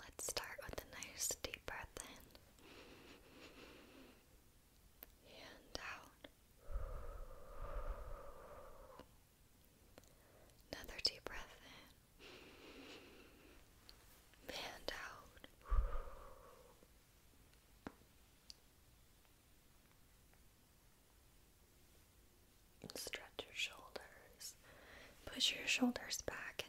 Let's start with a nice deep breath in and out. Another deep breath in and out. And stretch your shoulders. Push your shoulders back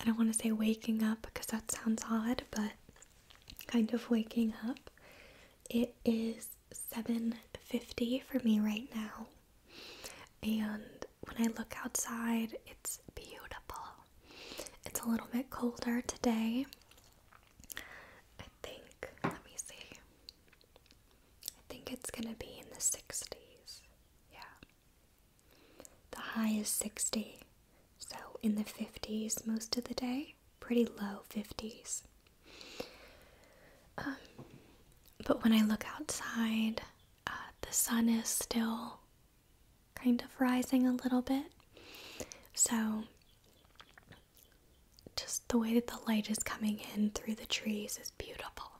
I don't want to say waking up because that sounds odd, but kind of waking up. It is 7:50 for me right now. And when I look outside, it's beautiful. It's a little bit colder today. I think, let me see. I think it's going to be in the 60s. Yeah. The high is 60, so in the 50s most of the day, pretty low 50s. Um, but when I look outside, uh, the sun is still kind of rising a little bit. So, just the way that the light is coming in through the trees is beautiful.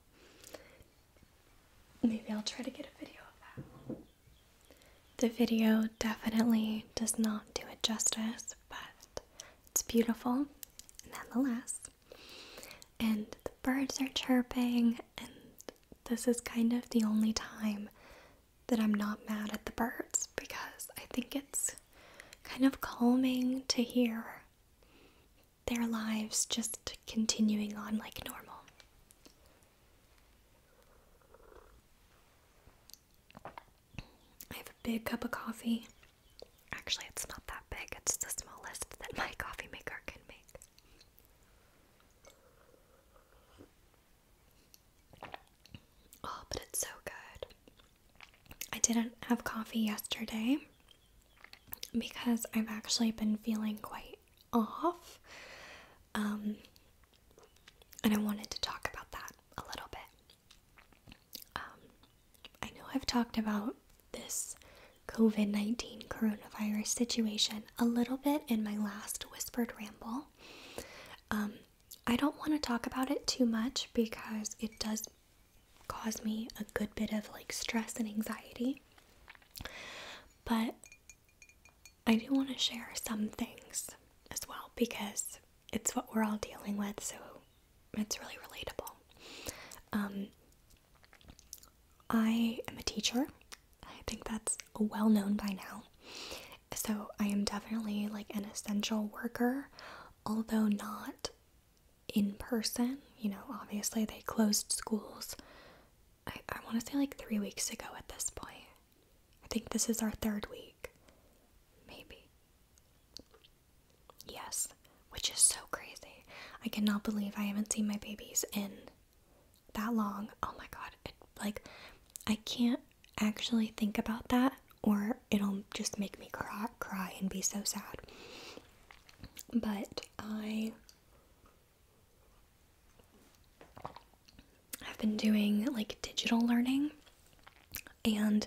Maybe I'll try to get a video of that. The video definitely does not do it justice, but it's beautiful nonetheless. And the birds are chirping, and this is kind of the only time that I'm not mad at the birds because I think it's kind of calming to hear their lives just continuing on like normal. I have a big cup of coffee. Actually, it's not that big, it's the smallest that my coffee maker can make. Oh, but it's so good. I didn't have coffee yesterday because I've actually been feeling quite off. Um, and I wanted to talk about that a little bit. Um, I know I've talked about this COVID 19 coronavirus situation a little bit in my last whispered ramble. Um, I don't want to talk about it too much because it does cause me a good bit of like stress and anxiety. But I do want to share some things as well because it's what we're all dealing with, so it's really relatable. Um, I am a teacher. I think that's well known by now. So I am definitely like an essential worker, although not in person. You know, obviously they closed schools I, I want to say like three weeks ago at this point. I think this is our third week. Maybe. Yes, which is so crazy. I cannot believe I haven't seen my babies in that long. Oh my god. It, like, I can't actually think about that or it'll just make me cry, cry and be so sad. But I I've been doing like digital learning, and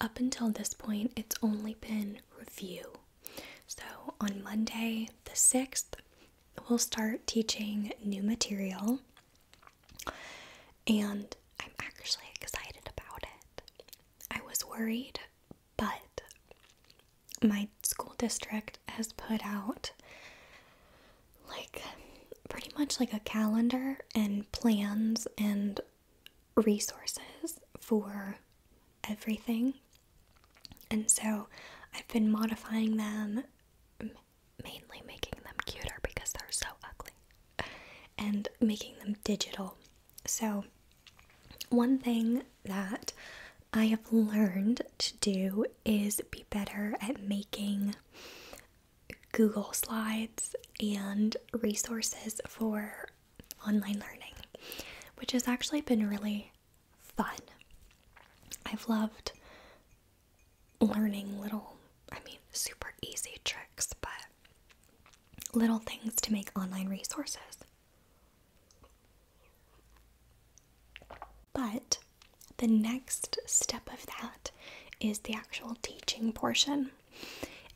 up until this point, it's only been review. So on Monday, the 6th, we'll start teaching new material, and I'm actually excited about it. I was worried, but my school district has put out like pretty much like a calendar and plans and resources for everything. And so I've been modifying them, mainly making them cuter because they're so ugly, and making them digital. So, one thing that I have learned to do is be better at making Google Slides and resources for online learning, which has actually been really fun. I've loved learning little, I mean, super easy tricks, but little things to make online resources. But the next step of that is the actual teaching portion.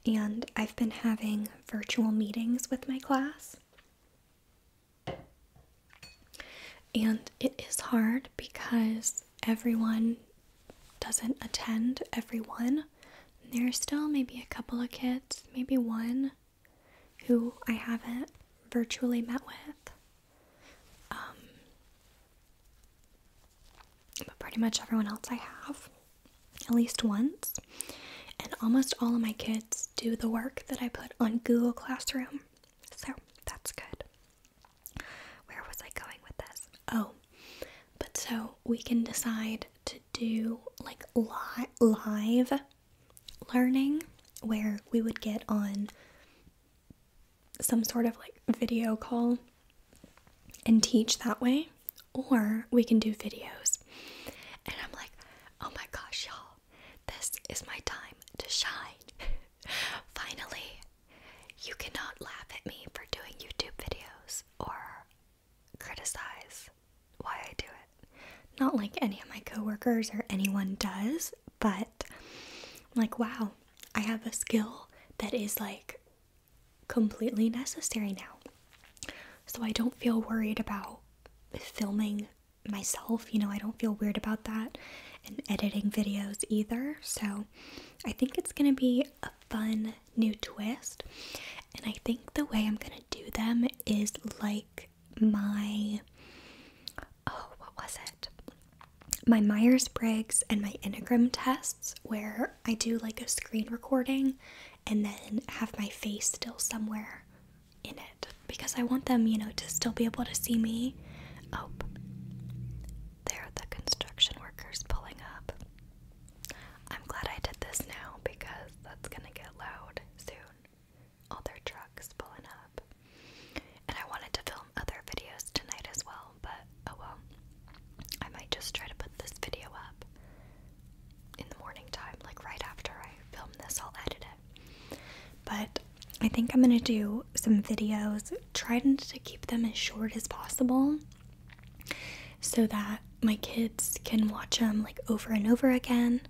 And I've been having virtual meetings with my class. And it is hard because everyone doesn't attend everyone. There's still maybe a couple of kids, maybe one who I haven't virtually met with. Um, but pretty much everyone else I have at least once. And almost all of my kids do the work that I put on Google Classroom. So that's good. Where was I going with this? Oh, but so we can decide to do like live learning where we would get on some sort of like video call and teach that way, or we can do videos. And I'm like, oh my gosh, y'all, this is my time to shine. Finally, you cannot laugh at me for doing YouTube videos or criticize why I do it. Not like any of my coworkers or anyone does, but like, wow, I have a skill that is like completely necessary now. So I don't feel worried about filming myself, you know, I don't feel weird about that and editing videos either. So I think it's going to be a fun new twist. And I think the way I'm going to do them is like my oh, what was it? My Myers Briggs and my Enneagram tests, where I do like a screen recording and then have my face still somewhere in it because I want them, you know, to still be able to see me. Oh, there are the construction workers pulling up. I'm glad I did this now because that's gonna get loud soon other trucks pulling up. And I wanted to film other videos tonight as well, but oh well. I might just try to put this video up in the morning time, like right after I film this, I'll edit it. But I think I'm gonna do some videos, trying to keep them as short as possible so that my kids can watch them like over and over again.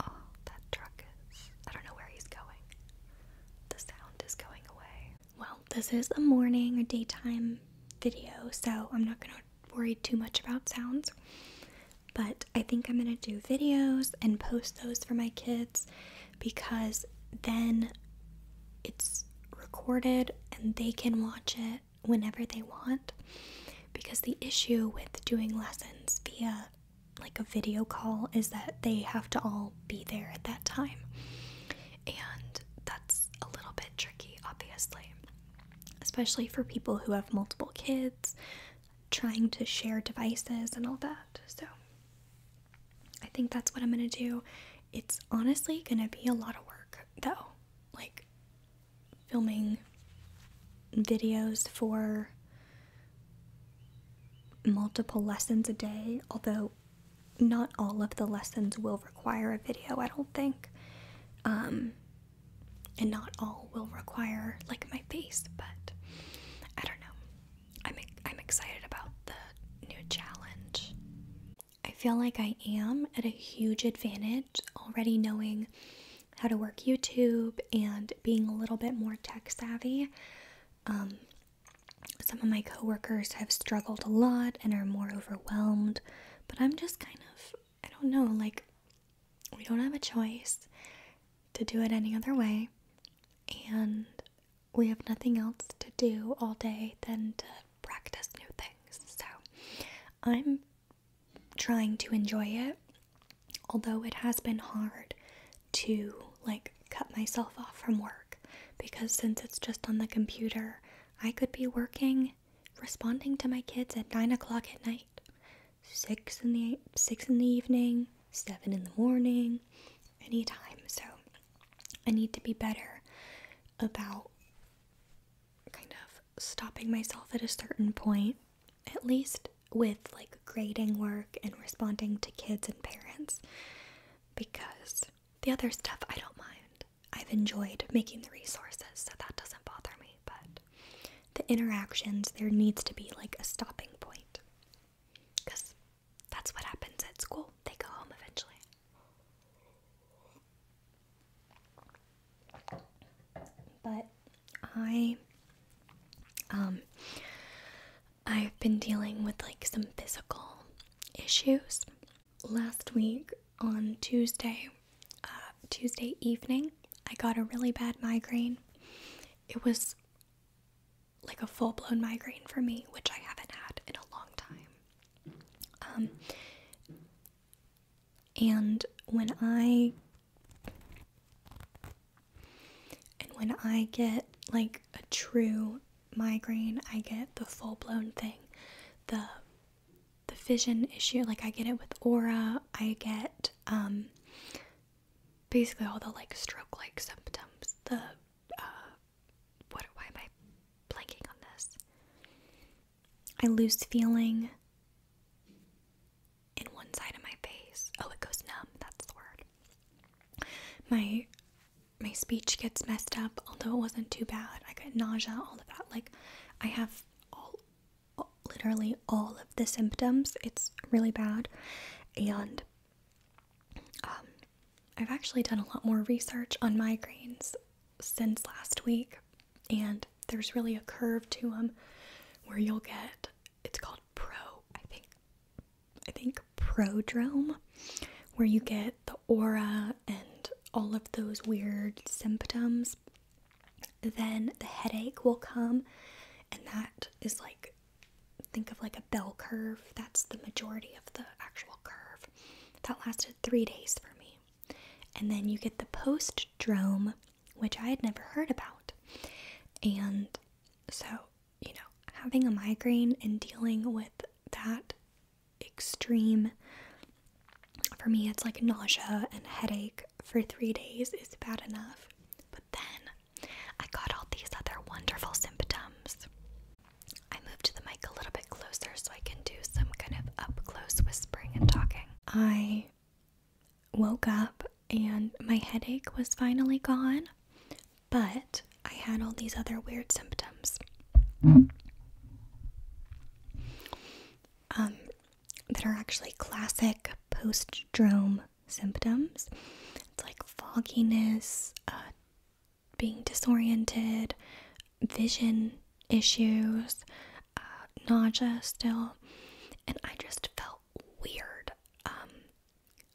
Oh, that truck I don't know where he's going. The sound is going away. Well, this is a morning or daytime video, so I'm not going to worry too much about sounds. But I think I'm going to do videos and post those for my kids because then it's recorded and they can watch it whenever they want. Because the issue with doing lessons via like a video call is that they have to all be there at that time. And that's a little bit tricky, obviously, especially for people who have multiple kids trying to share devices and all that. So I think that's what I'm going to do. It's honestly going to be a lot of work, though. Like, filming videos for multiple lessons a day, although not all of the lessons will require a video, I don't think. Um, and not all will require like my face, but I don't know. I'm I'm excited about the new challenge. I feel like I am at a huge advantage already knowing how to work YouTube and being a little bit more tech savvy. Um, some of my coworkers have struggled a lot and are more overwhelmed, but I'm just kind of, I don't know, like, we don't have a choice to do it any other way, and we have nothing else to do all day than to practice new things. So, I'm trying to enjoy it, although it has been hard to like cut myself off from work because since it's just on the computer, I could be working, responding to my kids at nine o'clock at night, six in the six in the evening, seven in the morning, anytime. So I need to be better about kind of stopping myself at a certain point at least with like grading work and responding to kids and parents, because the other stuff I don't mind. I've enjoyed making the resources, so that doesn't bother me, but the interactions, there needs to be like a stopping point. Because that's what happens at school. They go home eventually. But I um, I've been dealing with like some physical issues. Last week on Tuesday, uh, Tuesday evening, I got a really bad migraine. It was like a full blown migraine for me, which I haven't had in a long time. Um, and when I and when I get like a true migraine, I get the full blown thing. The the vision issue, like I get it with aura, I get um basically all the like stroke like symptoms. The uh what why am I blanking on this? I lose feeling in one side of my face. Oh, it goes numb. That's the word. My my speech gets messed up, although it wasn't too bad. I got nausea, all of that. Like I have all, all literally all of the symptoms. It's really bad. And um I've actually done a lot more research on migraines since last week, and there's really a curve to them where you'll get it's called Pro, I think. I think Prodrome, where you get the aura and all of those weird symptoms. Then the headache will come, and that is like think of like a bell curve. That's the majority of the actual curve. That lasted three days for me. And then you get the post drome, which I had never heard about. And so, you know, having a migraine and dealing with that extreme for me, it's like nausea and headache for three days is bad enough. But then I got all these other wonderful symptoms. I moved to the mic a little bit closer so I can do some kind of up close whispering and talking. I woke up and my headache was finally gone, but I had all these other weird symptoms um, that are actually classic post-drome symptoms. It's like fogginess, uh, being disoriented, vision issues, uh, nausea still. And I just felt weird. Um,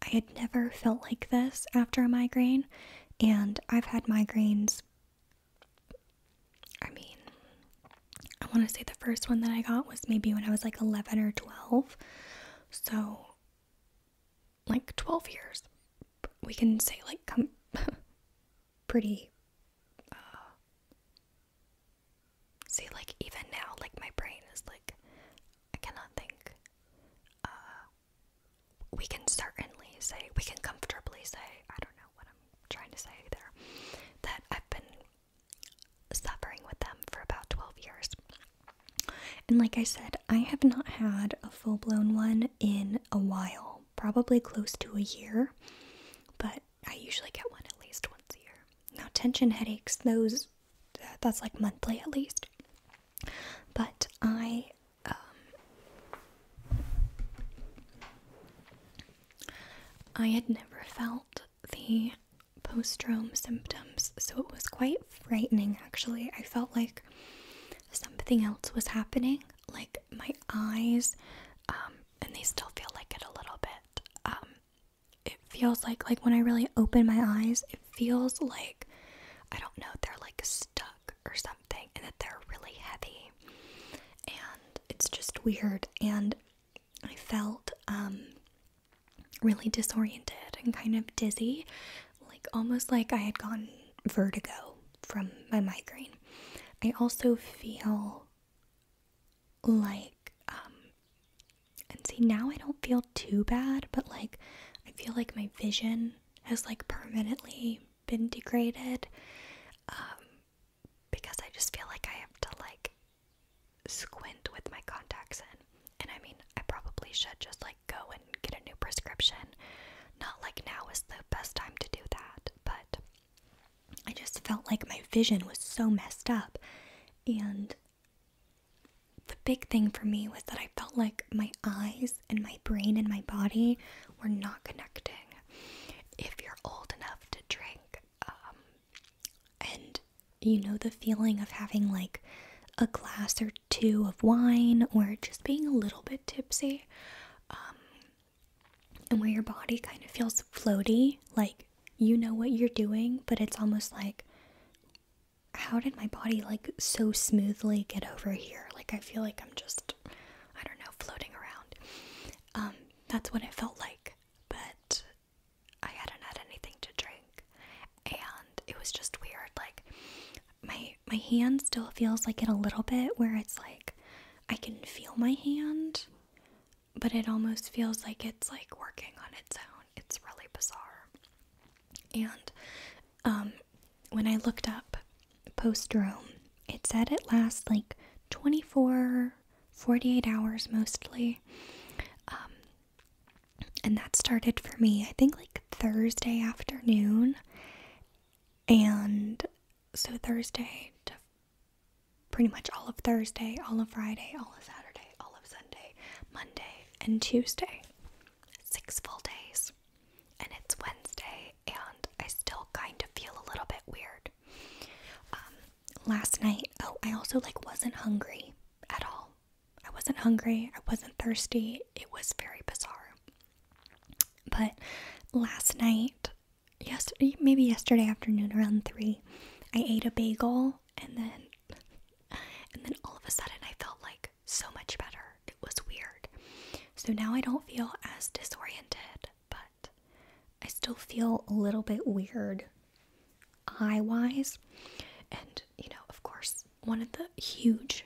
I had never felt like this after a migraine, and I've had migraines. I mean, I want to say the first one that I got was maybe when I was like 11 or 12. So, like 12 years. We can say, like, come pretty uh, See, like, even now, like, my brain is like, I cannot think. Uh, we can certainly say, we can comfortably say, I don't know what I'm trying to say there, that I've been suffering with them for about 12 years. And like I said, I have not had a full blown one in a while, probably close to a year, but I usually get one at least once a year. Now, tension headaches, those uh, that's like monthly at least. But I um I had never felt the post-drome symptoms, so it was quite frightening actually. I felt like something else was happening, like my eyes, um, and they still feel like it a little bit. Um, it feels like like when I really open my eyes, it feels like I don't know, they're like stuck or something and that they're really heavy. And it's just weird and I felt um really disoriented and kind of dizzy, like almost like I had gone vertigo from my migraine. I also feel like um, and see now I don't feel too bad, but like I feel like my vision has like permanently been degraded um because I just feel like I have to like squint with my contacts in. And I mean, I probably should just like go and get a new prescription. Not like now is the best time to do that, but I just felt like my vision was so messed up and the big thing for me was that I felt like my eyes and my brain and my body were not connecting. If you're old enough to drink, um, and you know the feeling of having like a glass or two of wine or just being a little bit tipsy, um, and where your body kind of feels floaty, like you know what you're doing, but it's almost like, how did my body like so smoothly get over here? Like, I feel like I'm just, I don't know, floating around. Um, that's what it felt like, but I hadn't had anything to drink, and it was just weird. Like, my my hand still feels like it a little bit, where it's like I can feel my hand, but it almost feels like it's like working on its own. It's really bizarre. And um, when I looked up post Rome, it said it lasts like 24, 48 hours mostly. Um, and that started for me, I think, like Thursday afternoon. And so Thursday pretty much all of Thursday, all of Friday, all of Saturday, all of Sunday, Monday, and Tuesday. Six full days. And it's Wednesday, and I still kind of feel a little bit weird. Um, last night, oh, I also like wasn't hungry at all. I wasn't hungry, I wasn't thirsty. It was very bizarre. But last night, yesterday, maybe yesterday afternoon around 3, I ate a bagel and then and then all of a sudden I felt like so much better. It was weird. So now I don't feel as disoriented, but I still feel a little bit weird eye wise. And you know, of course, one of the huge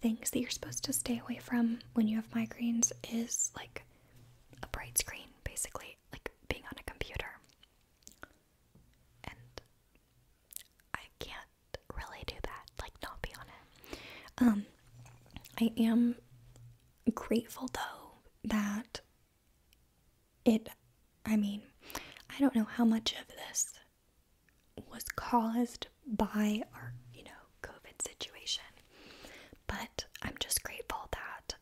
things that you're supposed to stay away from when you have migraines is like a bright screen, basically, like being on a computer and I can't really do that, like not be on it. Um, I am grateful though that it, I mean, I don't know how much of this was caused by our, you know, COVID situation, but I'm just grateful that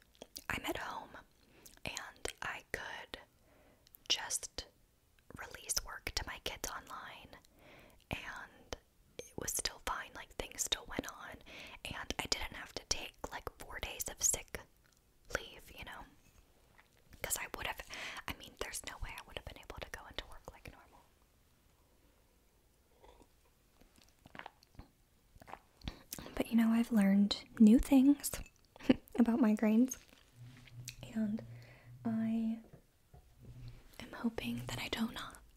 I'm at home and I could just release work to my kids online and it was still fine like things still went on and I didn't have to take like 4 days of sick leave, you know. Cuz I would have I mean there's no way I would have been able to go into work like normal. But you know, I've learned new things about migraines, and I am hoping that I don't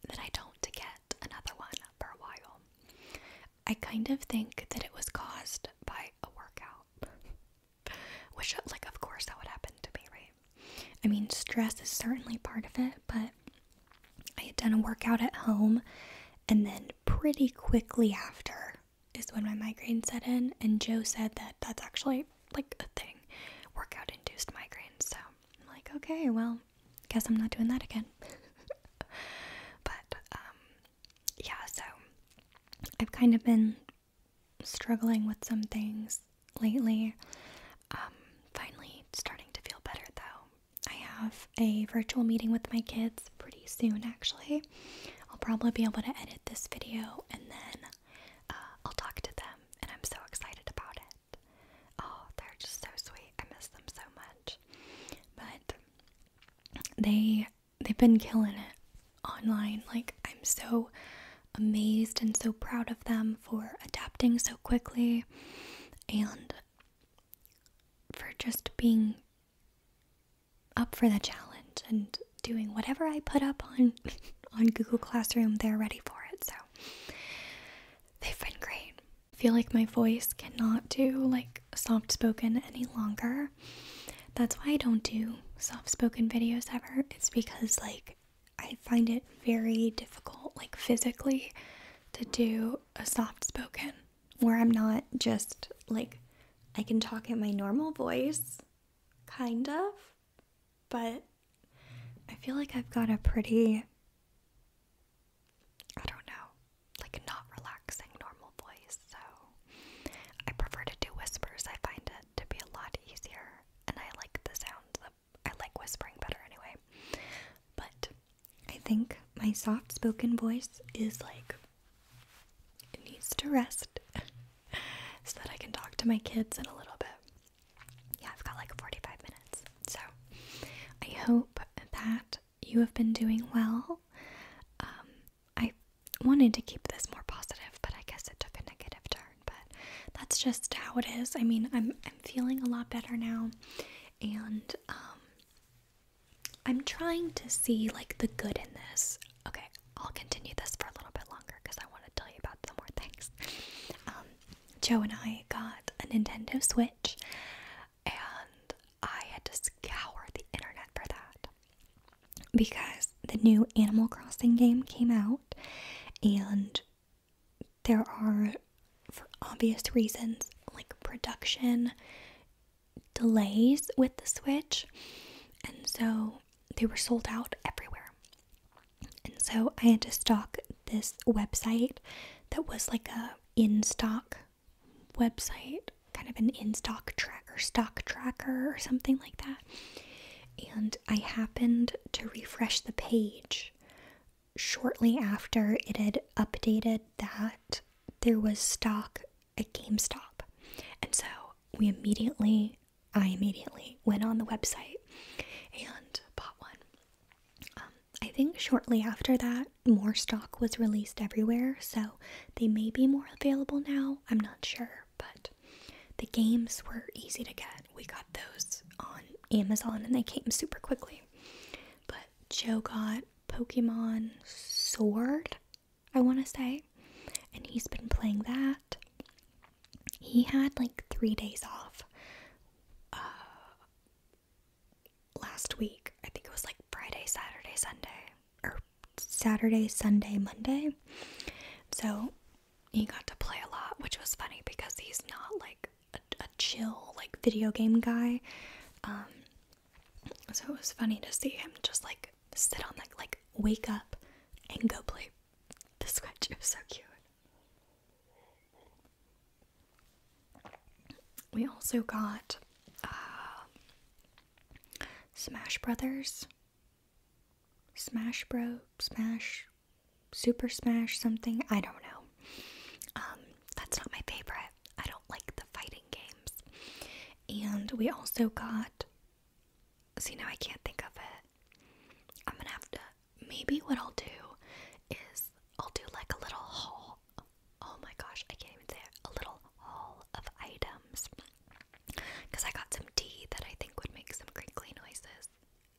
that I don't get another one for a while. I kind of think that it was caused by a workout, which, like, of course, that would happen to me, right? I mean, stress is certainly part of it, but I had done a workout at home, and then pretty quickly after, is when my migraine set in, and Joe said that that's actually like a thing workout induced migraines. So I'm like, okay, well, guess I'm not doing that again. but um, yeah, so I've kind of been struggling with some things lately. Um, finally starting to feel better though. I have a virtual meeting with my kids pretty soon, actually. I'll probably be able to edit this video and then uh, I'll talk to them, and I'm so excited about it. Oh, they're just so sweet. I miss them so much. But they they've been killing it online. Like I'm so amazed and so proud of them for adapting so quickly and for just being up for the challenge and doing whatever I put up on on Google Classroom, they're ready for it. So they've been great. I feel like my voice cannot do like soft spoken any longer. That's why I don't do soft spoken videos ever. It's because like I find it very difficult like physically to do a soft spoken where I'm not just like I can talk in my normal voice, kind of, but I feel like I've got a pretty, I don't know, like not relaxing normal voice. So I prefer to do whispers. I find it to be a lot easier, and I like the sound. of, I like whispering better anyway. But I think my soft spoken voice is like it needs to rest so that I can talk to my kids in a little bit. Yeah, I've got like 45 minutes. So I hope that you have been doing well. Um, I wanted to keep this more positive, but I guess it took a negative turn. But that's just how it is. I mean, I'm I'm feeling a lot better now, and um, I'm trying to see like the good in this. Okay, I'll continue this for a little bit longer because I want to tell you about some more things. Um, Joe and I got a Nintendo Switch, and I had to scour the internet for that because the new Animal Crossing game came out, and there are, for obvious reasons, like production delays with the Switch, and so they were sold out everywhere. And so I had to stock this website that was like a in stock website, kind of an in stock tracker, stock tracker, or something like that. And I happened to refresh the page shortly after it had updated that there was stock at GameStop. And so we immediately, I immediately went on the website and bought one. Um, I think shortly after that, more stock was released everywhere, so they may be more available now. I'm not sure, but the games were easy to get. We got those on Amazon and they came super quickly. But Joe got Pokemon Sword, I want to say. And he's been playing that. He had like three days off uh, last week. I think it was like Friday, Saturday, Sunday, or Saturday, Sunday, Monday. So he got to play a lot, which was funny because he's not like a, chill, like video game guy. Um, so it was funny to see him just like sit on that, like wake up and go play the scratch. It was so cute. We also got um, Smash Brothers, Smash Bro, Smash, Super Smash, something. I don't know. Um, that's not my favorite. I don't like the fighting games. And we also got see now I can't think of it. I'm gonna have to maybe what I'll do is I'll do like a little haul oh my gosh, I can't even say a little haul of items. Cause I got some tea that I think would make some crinkly noises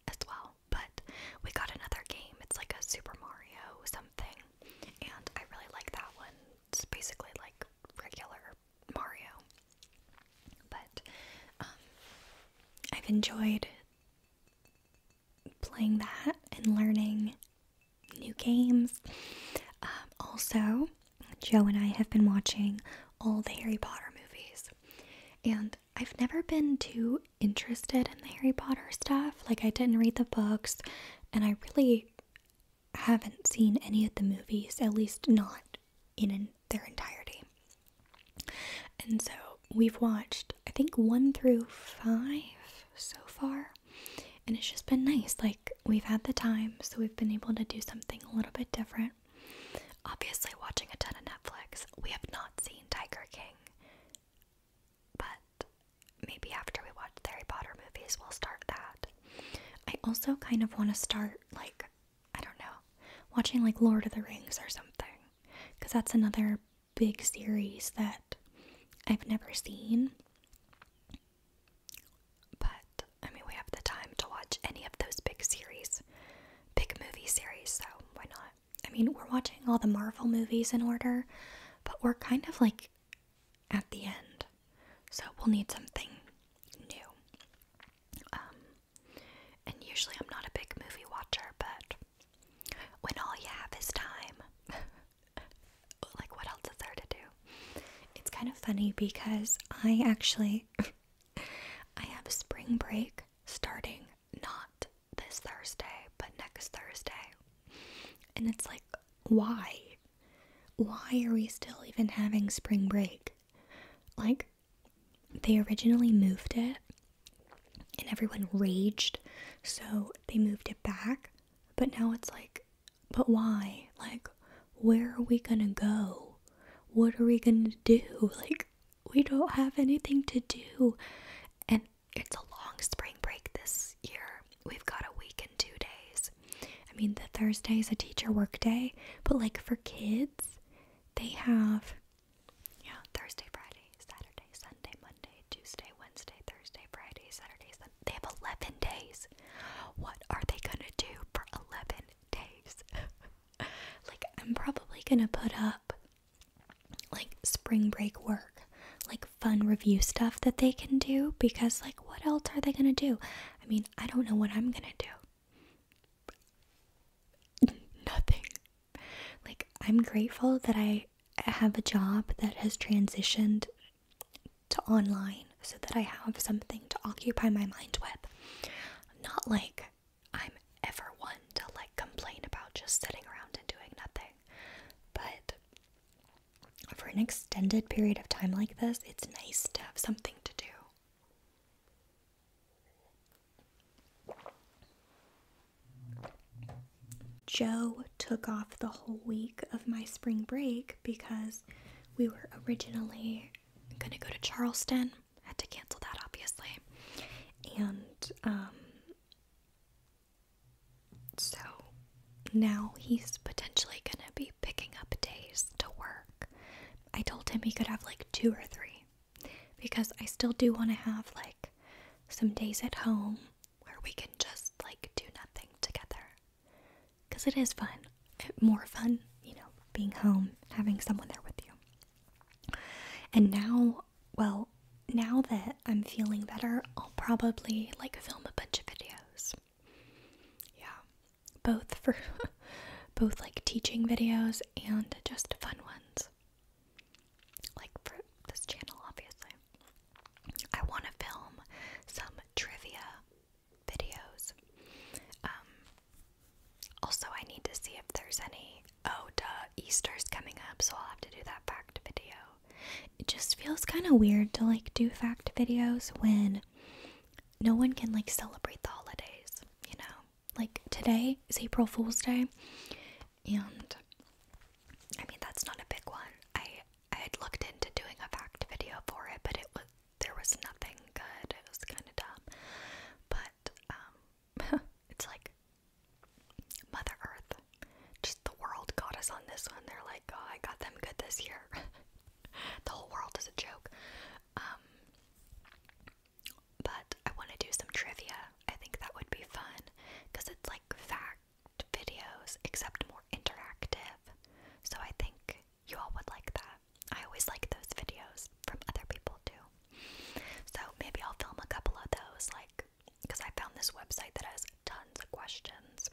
as well. But we got another game. It's like a Super Mario something. And I really like that one. It's basically like regular Mario. But um, I've enjoyed playing that and learning new games. Um, also, Joe and I have been watching all the Harry Potter movies. And I've never been too interested in the Harry Potter stuff. Like, I didn't read the books, and I really haven't seen any of the movies, at least not in their entirety. And so we've watched, I think, one through five so far. And it's just been nice. Like, we've had the time, so we've been able to do something a little bit different. Obviously, watching a ton of Netflix, we have not seen Tiger King. But maybe after we watch Harry Potter movies, we'll start that. I also kind of want to start, like, I don't know, watching like Lord of the Rings or something. Because that's another big series that I've never seen. But, I mean, we have the time to watch any of those big series, big movie series, so why not? I mean, we're watching all the Marvel movies in order, but we're kind of like at the end. So we'll need something new. Um, and usually I'm not a big movie watcher, but when all you have is time, like what else is there to do? It's kind of funny because I actually I have spring break starting not this Thursday, but next Thursday. And it's like why? Why are we still even having spring break? Like, they originally moved it and everyone raged, so they moved it back. But now it's like, but why? Like, where are we gonna go? What are we gonna do? Like, we don't have anything to do. And it's a long spring break this year. We've got a week two days. I mean, the Thursday is a teacher work day, but like for kids, they have, yeah, Thursday, Friday, Saturday, Sunday, Monday, Tuesday, Wednesday, Thursday, Friday, Saturday, Sunday. They have 11 days. What are they gonna do for 11 days? like, I'm probably gonna put up like spring break work, like fun review stuff that they can do because, like, what else are they gonna do? I mean, I don't know what I'm gonna do. Nothing. Like, I'm grateful that I have a job that has transitioned to online so that I have something to occupy my mind with. Not like I'm ever one to like complain about just sitting around and doing nothing, but for an extended period of time like this, it's nice to have something to do. Joe took off the whole week of my spring break because we were originally going to go to Charleston. Had to cancel that, obviously. And um, so now he's potentially gonna be picking up days to work. I told him he could have like two or three because I still do want to have like some days at home where we can just like do nothing together because it is fun, eh, more fun, you know, being home, having someone there with you. And now, well, now that I'm feeling better, I'll probably like film a bunch of videos. Yeah, both for both like teaching videos and just fun ones. Like for this channel, obviously. I want to film some trivia videos. Um, also, I need to see if there's any. Oh, duh, Easter's coming up, so I'll have to do that fact video. It just feels kind of weird to like do fact videos when no one can like celebrate the holidays, you know? Like today is April Fool's Day, and I mean that's not a big one. I I had looked into doing a fact video for it, but it was there was nothing good. It was kind of dumb, but um, it's like Mother Earth, just the world got us on this one. They're like, oh, I got them good this year. the whole world is a joke. Um, but I want to do some trivia. I think that would be fun because it's like fact videos, except more interactive. So I think you all would like that. I always like those videos from other people too. So maybe I'll film a couple of those, like, because I found this website that has tons of questions.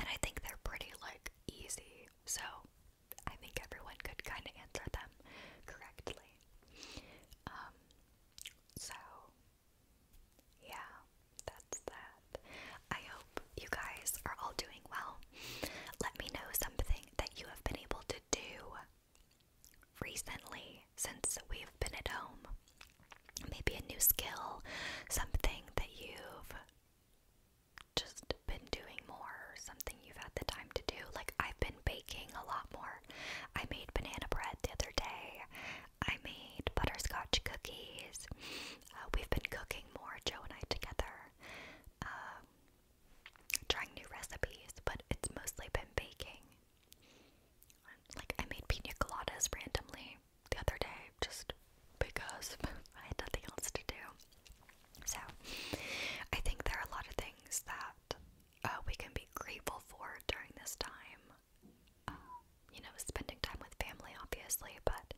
And I think they're pretty like easy, so I think everyone could kind of answer them correctly. Um, so yeah, that's that. I hope you guys are all doing well. Let me know something that you have been able to do recently since we've been at home. Maybe a new skill, something that you've just been doing more something you've had the time to do. Like, I've been baking a lot more. I made banana bread the other day, I made butterscotch cookies. Uh, we've been cooking more, Joe and I together, um, trying new recipes, but it's mostly been baking. Like, I made pina coladas randomly the other day just because I had nothing else to do. So, I think there are a lot of things that uh, we can be grateful for during this time. Uh, you know, spending time with family, obviously, but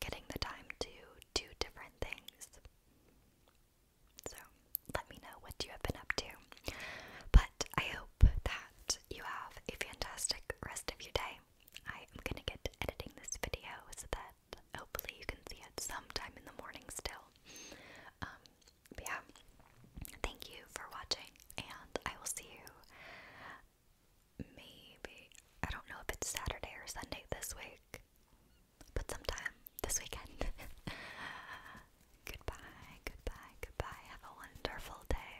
getting the time to do different things. So, let me know what you have been up to. But I hope that you have a fantastic rest of your day. I am gonna get to editing this video so that hopefully you can see it sometime in the morning still. Um, yeah, thank you for watching, and I will see you maybe, I don't know if it's Saturday or Sunday this week, but sometime this weekend. goodbye, goodbye, goodbye. Have a wonderful day.